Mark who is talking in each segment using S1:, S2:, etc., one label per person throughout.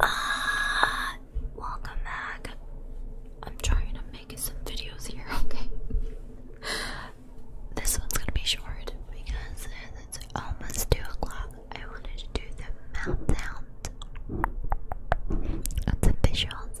S1: Ah, welcome back. I'm trying to make some videos here, okay? this one's gonna be short because it's almost 2 o'clock. I wanted to do the meltdown the visuals.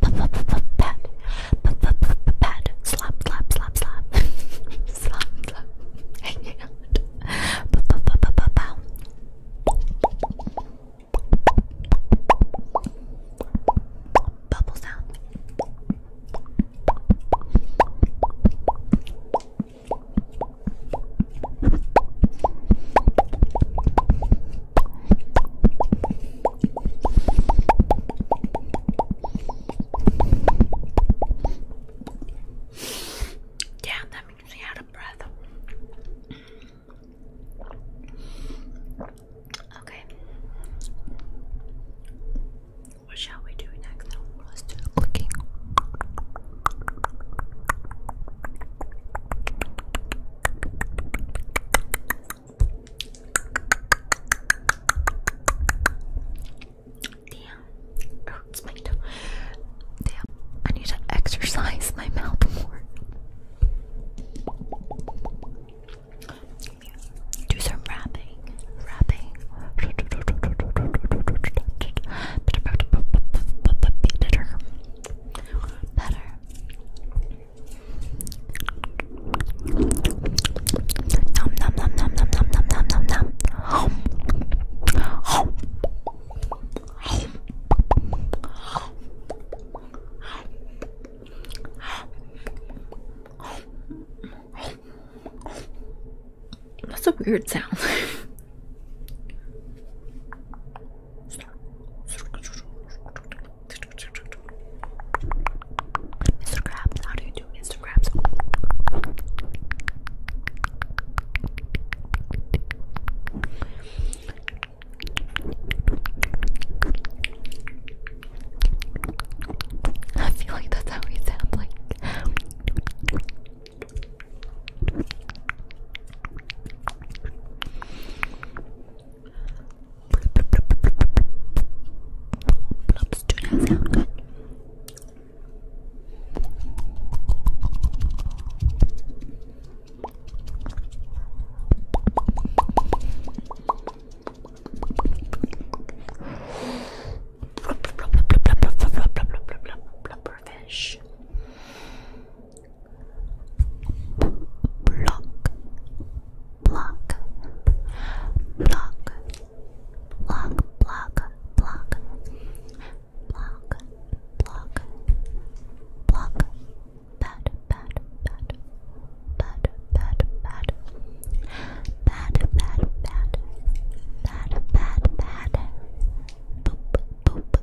S1: pat, pat, slap, slap, slap, slap, slap, slap, hang out, pow. Bubble sound. Yeah, that makes me out of breath. Okay. What shall we do next? Let's do the Damn. Oh, it's my toe. Damn. I need to exercise my mouth more. Do some rapping. Rapping. Nom nom nom nom nom nom nom nom nom nom. That's a weird sound. Mr. Krabs, how do you do, Mr. Krabs? I feel like that's how we sound like Blobs, do that sound good? Fish block, block, block, block, block, block, block, block, block, bad, bad, bad, bad, bad, bad, bad, bad, bad, bad, boop, boop,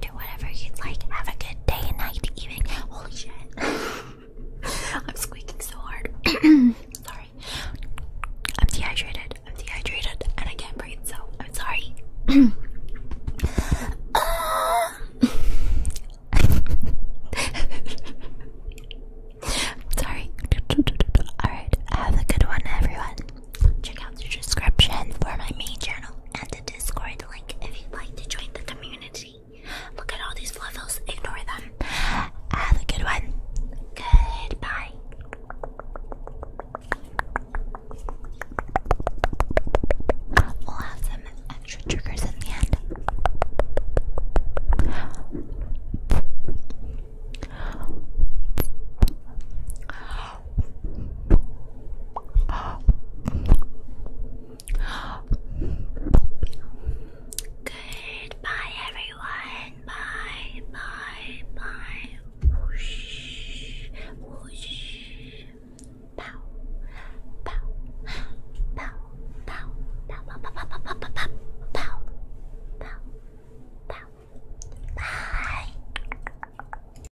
S1: do whatever you'd like. Have a good day and night, evening. Holy shit. I'm squeaking so hard. sorry. I'm dehydrated. I'm dehydrated and I can't breathe, so I'm sorry. sorry. Alright, have a good one, everyone. Check out the description for my main channel and the Discord link if you'd like to join the community. Look at all these levels. ignore them. Have a good one. Goodbye. We'll have some extra triggers in the end. Goodbye, everyone. Bye, bye, bye. Whoosh, whoosh. Pow, pow, pow, pow, pow, pow, pow, pow, pow, pow, pow, pow, Bye.